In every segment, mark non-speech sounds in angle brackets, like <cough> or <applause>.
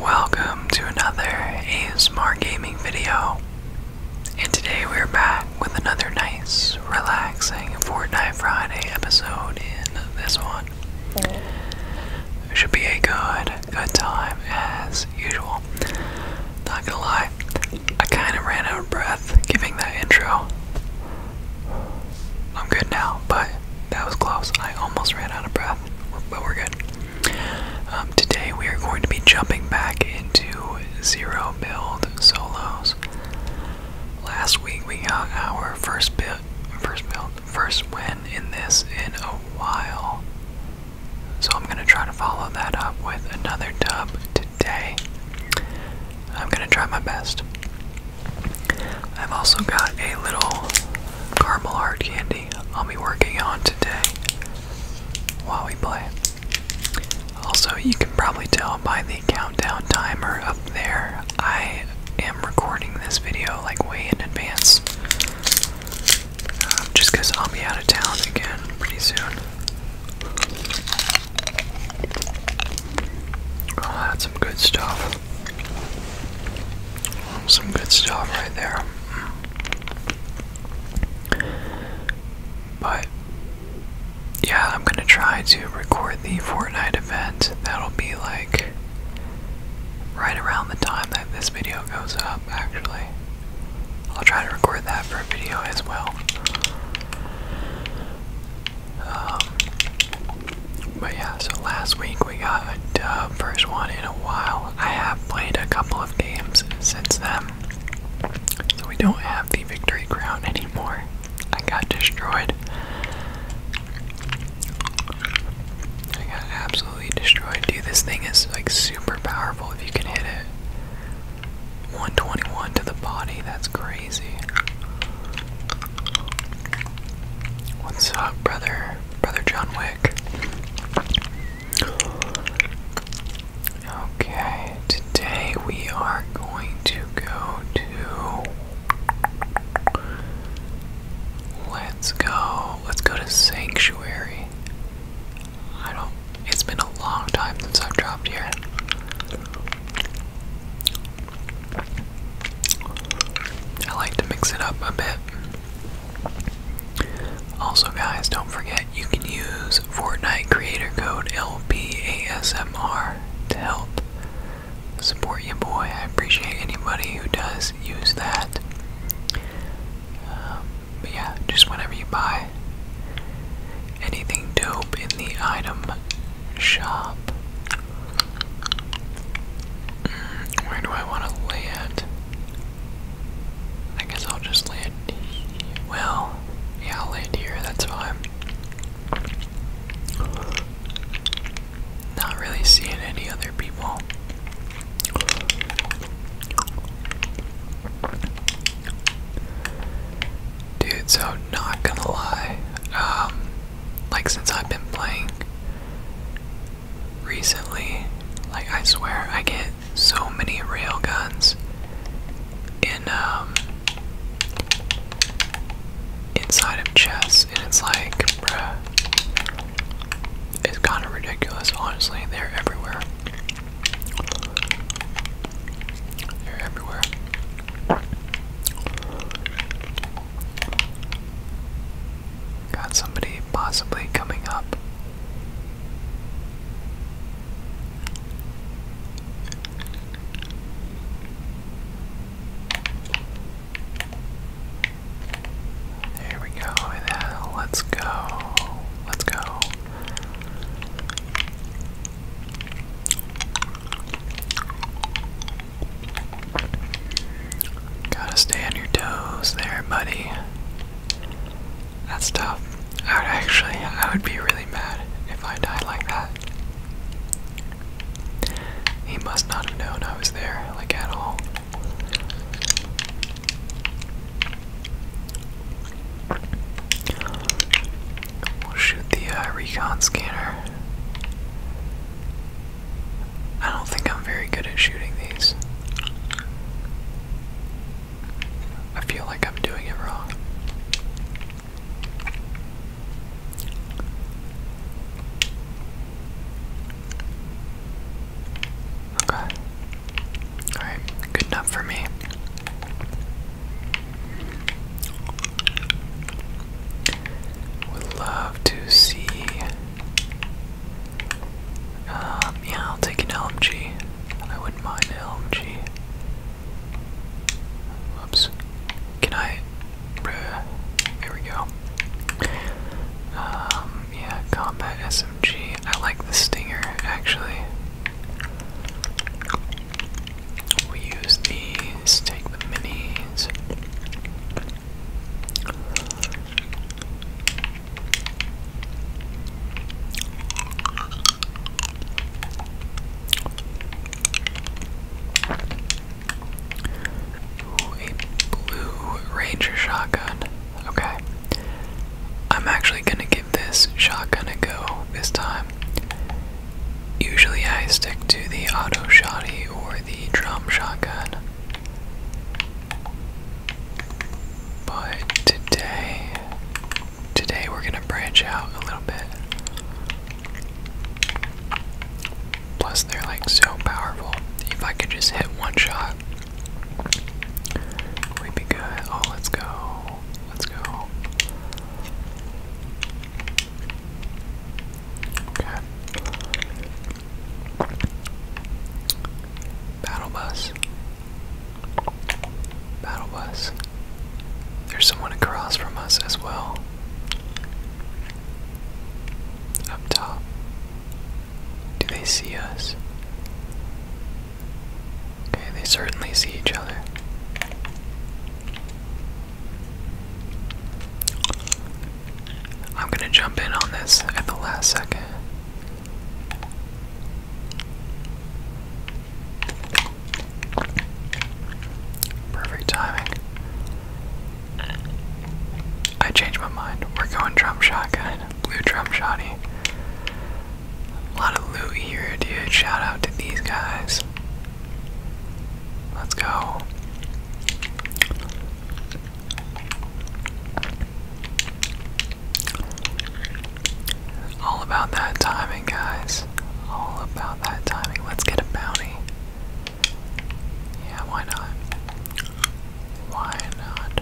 Welcome to another ASMR gaming video. And today we're back with another nice, relaxing Fortnite Friday episode in this one. Mm. Should be a good, good time as usual. Not gonna lie, I kinda ran out of breath giving that intro. I'm good now, but that was close. I almost ran out of breath but we're good. Um, today we are going to be jumping back into zero build solos. Last week we got our first build, first build, first win in this in a while. So I'm gonna try to follow that up with another dub today. I'm gonna try my best. I've also got a little caramel hard candy I'll be working on today while we play. Also, you can probably tell by the countdown timer up there, I am recording this video like way in advance. Um, just because I'll be out of town again pretty soon. Oh, that's some good stuff. Some good stuff right there. But yeah, I'm gonna try to record the Fortnite event. That'll be like right around the time that this video goes up, actually. I'll try to record that for a video as well. Um, but yeah, so last week we got a first one in a while. I have played a couple of games since then. So we don't have the victory crown anymore. I got destroyed. I got absolutely destroyed. Dude, this thing is like super powerful if you can hit it. 121 to the body, that's crazy. What's up, brother? Brother John Wick. Okay, today we are going to go to. Let's go. Let's go to Sanctuary. I don't. It's been a long time since I've dropped here. I like to mix it up a bit. Also, guys, don't forget you can use Fortnite creator code LPASMR to help support you, boy. I appreciate anybody who does use that. Um, but yeah, just whenever you buy anything dope in the item shop, where do I want to lay I guess I'll just lay Well, yeah, I'll lay here, that's fine. Not really seeing any other people. Dude, so not gonna lie. Um, like since I've been playing recently, like I swear I get so many rail guns in um inside of chess and it's like bruh it's kinda ridiculous honestly they're everywhere. They're everywhere. Got somebody possibly coming up. There we go. let's go. Let's go. Gotta stay on your toes there, buddy. That's tough. I would actually, I would be really mad if I died like that. He must not have known I was there, like at all. shoot the uh, recon scanner. I don't think I'm very good at shooting these. I feel like I'm doing it wrong. Okay. Alright, good enough for me. Would love to see. Um, yeah, I'll take an LMG. I wouldn't mind an LMG. Whoops. Can I? Bruh. we go. Um, yeah, combat SMG. I like the Stinger, actually we use these, take the minis. a blue ranger shotgun. Okay. I'm actually gonna give this shotgun a go this time. Usually I stick to the auto shotty or the drum shotgun. But today, today we're gonna branch out a little bit. Plus, they're like so powerful. If I could just hit one shot, we'd be good. Oh, let's go. Let's go. Okay. Battle bus. Battle bus. There's someone across from us as well. Up top. Do they see us? Okay, they certainly see each other. I'm gonna jump in on this at the last second. Perfect timing. I changed my mind. We're going drum shotgun. Blue drum shoddy. A lot of loot here, dude. Shout out to these guys. Let's go. All about that timing, guys. All about that timing. Let's get a bounty. Yeah, why not? Why not?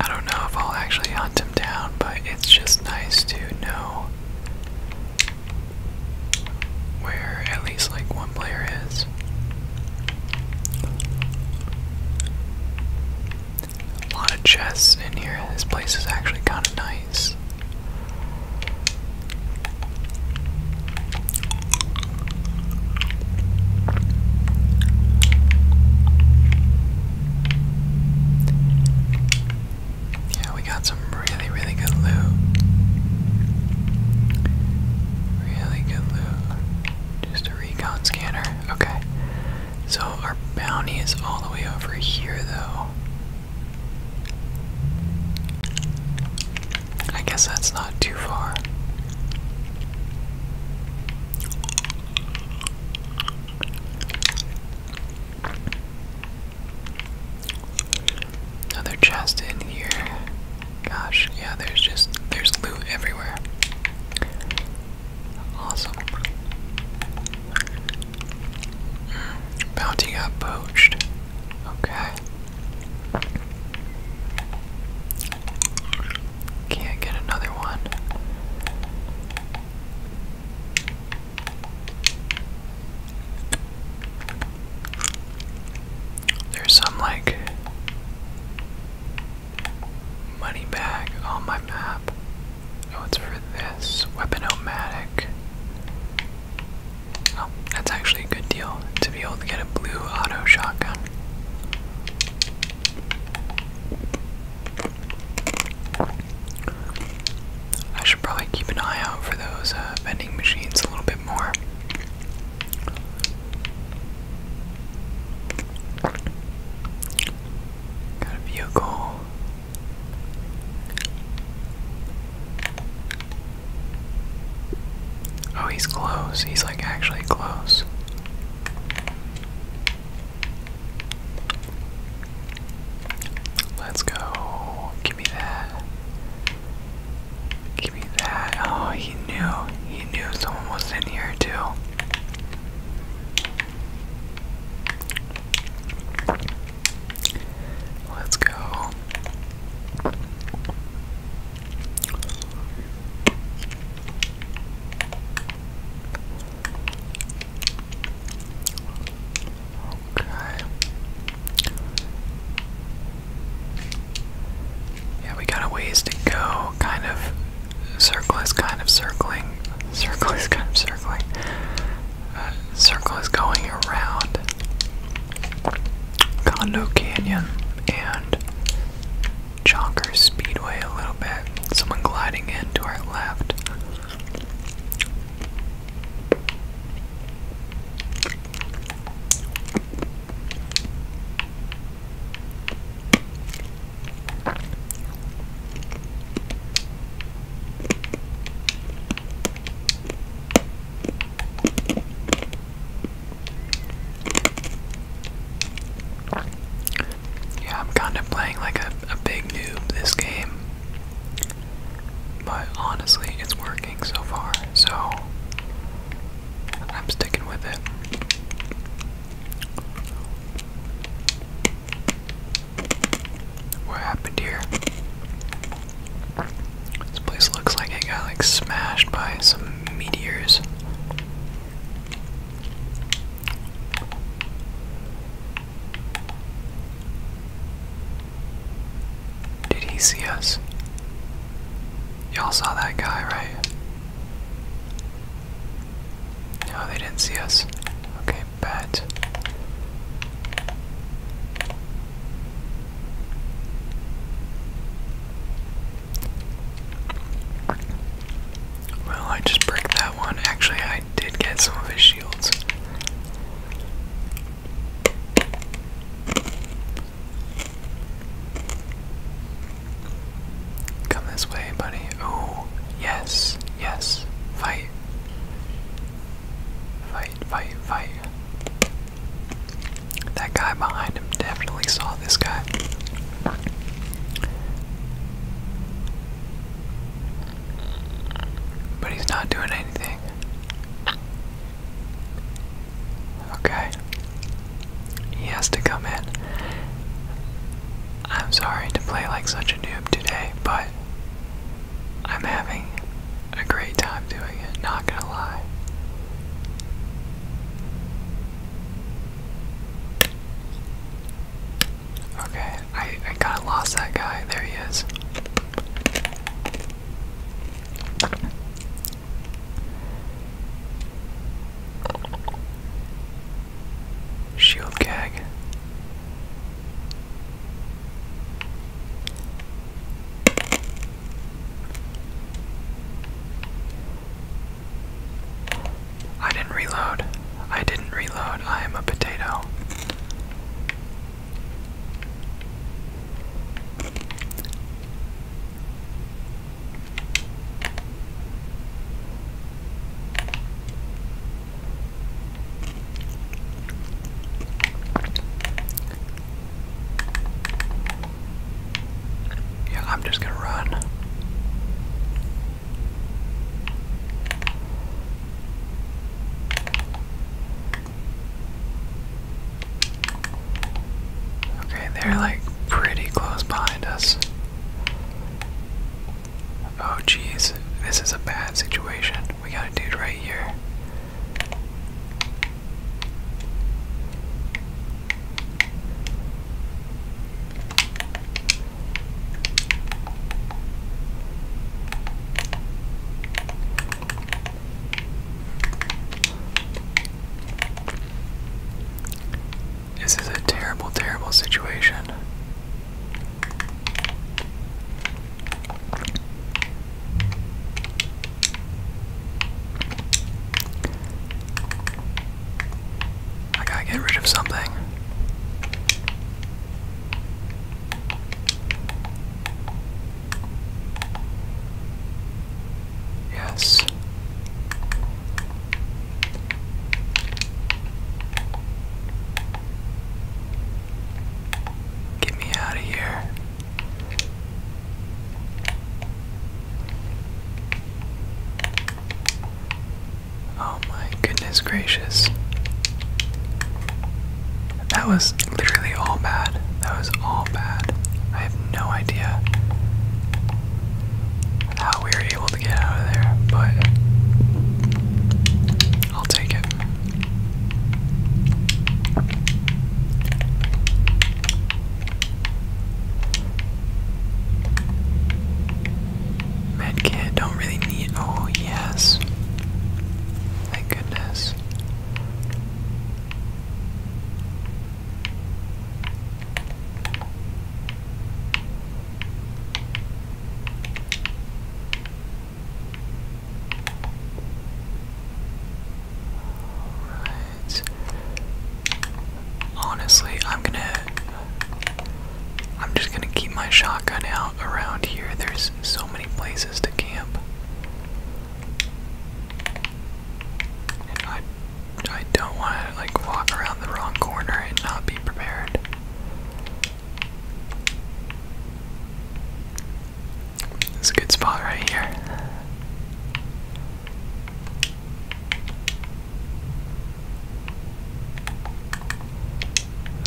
I don't know if I'll actually hunt him down, but it's just nice to know where at least like one player is. A lot of chests in here. This place is actually kind of nice. Yeah, we got some really, really good loot. Really good loot. Just a recon scanner. Okay. So our bounty is all the way over here, though. I guess that's not too far. Another chest in here. Gosh, yeah, there's just there's loot everywhere. Awesome. Hmm, bounty got poached. Okay. Can't get another one. There's some like money bag on my map. Oh, it's for this weapon Oh, that's actually a good deal to be able to get a blue auto shotgun. I should probably keep an eye out for those uh, vending machines a little bit more. Got a vehicle. Oh, he's close. He's like actually close. Let's go. Give me that. Give me that. Oh, he knew. He knew someone was in here too. Let's go. Okay. Yeah, we got a ways to go. Kind of circle is kind of circling. <laughs> Circle is kind of circling. Uh, circle is going around. Condo Canyon and Jonker Speedway a little bit. Someone gliding in to our left. Yeah, I'm kind of playing like a, a big noob this game. But honestly, it's working so far, so I'm sticking with it. What happened here? This place looks like it got like smashed by some meteors. Did he see us? Y'all saw that guy, right? No, they didn't see us. Okay, bad. Well, I just bricked that one. Actually, I did get some of his shields. Come this way, buddy. Oh, yes, yes. Fight. Fight, fight, fight. That guy behind him definitely saw this guy. But he's not doing anything. Okay. He has to come in. I'm sorry to play like such a noob today, but I'm having a great time doing it, not gonna lie. Okay, I, I kind of lost that guy. There he is. Shield gag. I didn't reload. I didn't reload. I am a potato. Yeah, I'm just gonna run. Okay, they're like pretty close behind us. Oh, jeez, this is a bad situation. We got a dude right here. This is a terrible, terrible situation. I gotta get rid of something. Yes. Get me out of here. Oh my goodness gracious. That was literally all bad. That was all bad. I have no idea how we were able to get out of there, but I'll take it. Medkit, don't really need. Oh, yes. Thank goodness. Honestly, I'm gonna. I'm just gonna keep my shotgun out around here. There's so many places to camp. I don't want to like walk around the wrong corner and not be prepared. It's a good spot right here.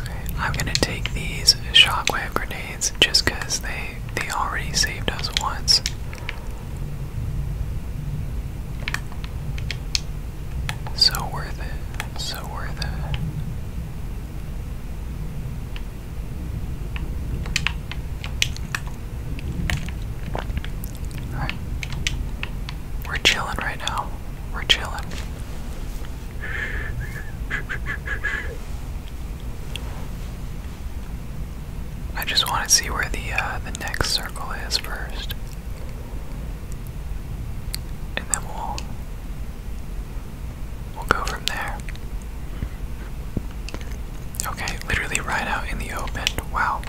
Okay, I'm gonna take these shockwave grenades just because they they already saved us once. So worth it. So worth it. We're chilling right now. We're chilling. I just want to see where the uh, the next circle is first, and then we'll We'll go from there. Okay, literally right out in the open. Wow.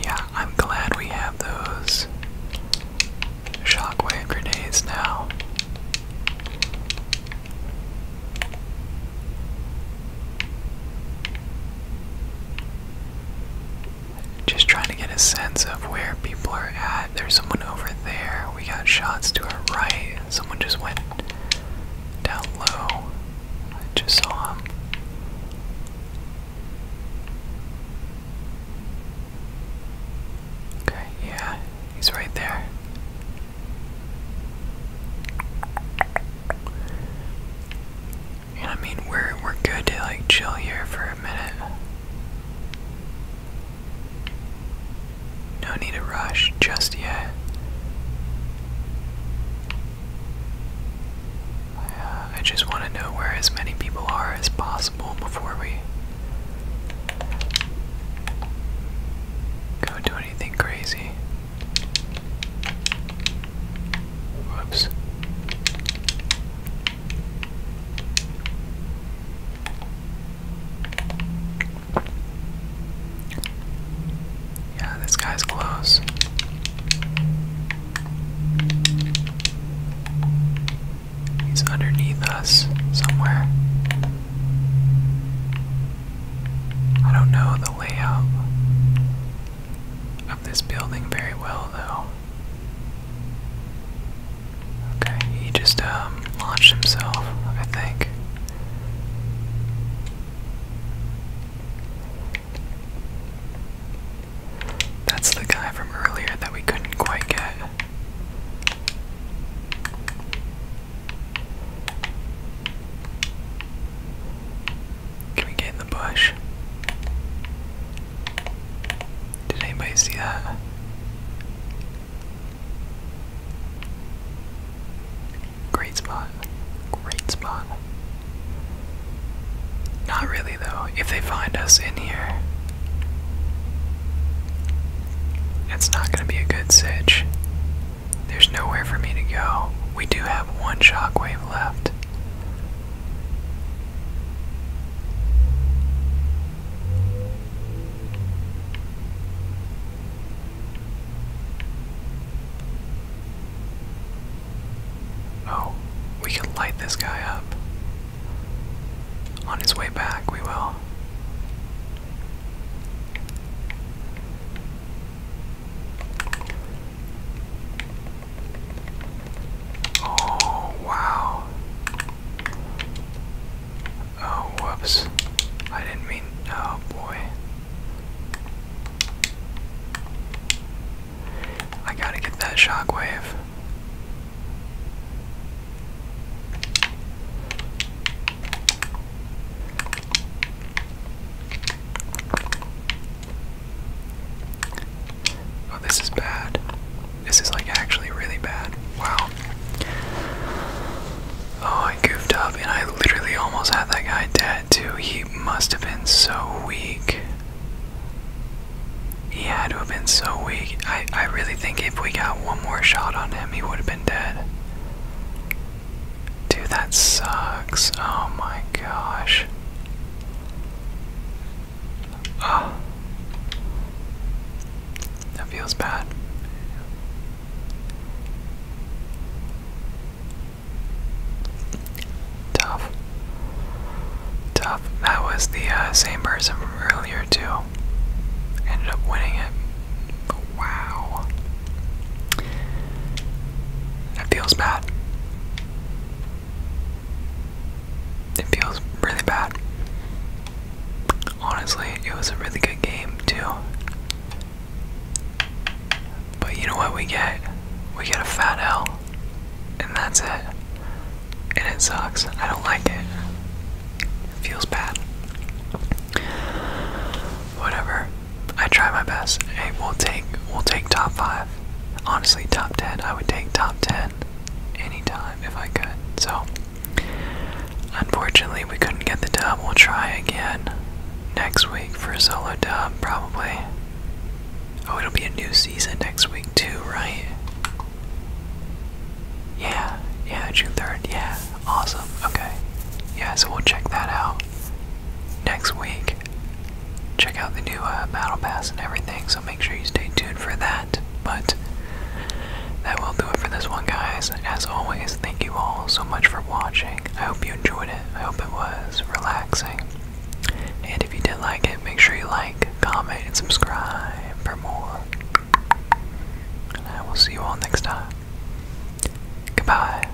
Yeah, I'm glad we have those shockwave grenades now. Just trying to get a sense of where people are at. There's someone over there. We got shots to our right. Someone just went down low. I just saw him. Okay, yeah, he's right there. I mean, we're we're good to like chill here for a minute. No need to rush just yet. Uh, I just want to know where as many people are as possible before we go do anything crazy. Whoops. Yeah, this guy's close. He's underneath us somewhere. I don't know the layout of this building very well, though. Okay, he just um, launched himself, I think. That's the guy from earlier that we couldn't quite get. Can we get in the bush? Did anybody see that? Great spot. Great spot. Not really, though. If they find us in here, it's not going to be a good sitch. There's nowhere for me to go. We do have one shockwave left. Oh, we can light this guy up. On his way back, we will. Oh, wow. Oh, whoops. I didn't mean. Oh, boy. I gotta get that shockwave. Oh, this is bad. This is like actually really bad. Wow. Oh, I goofed up and I literally almost had that guy dead too. He must have been so weak. He had to have been so weak. I, I really think if we got one more shot on him, he would have been dead. Dude, that sucks. Oh my gosh. Ah. That feels bad. Tough. Tough. That was the uh, same person from earlier, too. Ended up winning it. Wow. That feels bad. It feels really bad. Honestly, it was a really good game, too. But you know what we get? We get a fat L. And that's it. And it sucks. I don't like it. It feels bad. Whatever. I try my best. Hey, will take we'll take top five honestly, top 10. I would take top 10 anytime if I could. So, unfortunately, we couldn't get the dub. We'll try again next week for a solo dub, probably. Oh, it'll be a new season next week, too, right? Yeah, yeah, June 3rd. Yeah, awesome. Okay. Yeah, so we'll check that out next week check out the new uh, battle pass and everything, so make sure you stay tuned for that. But that will do it for this one, guys. As always, thank you all so much for watching. I hope you enjoyed it. I hope it was relaxing. And if you did like it, make sure you like, comment, and subscribe for more. And I will see you all next time. Goodbye.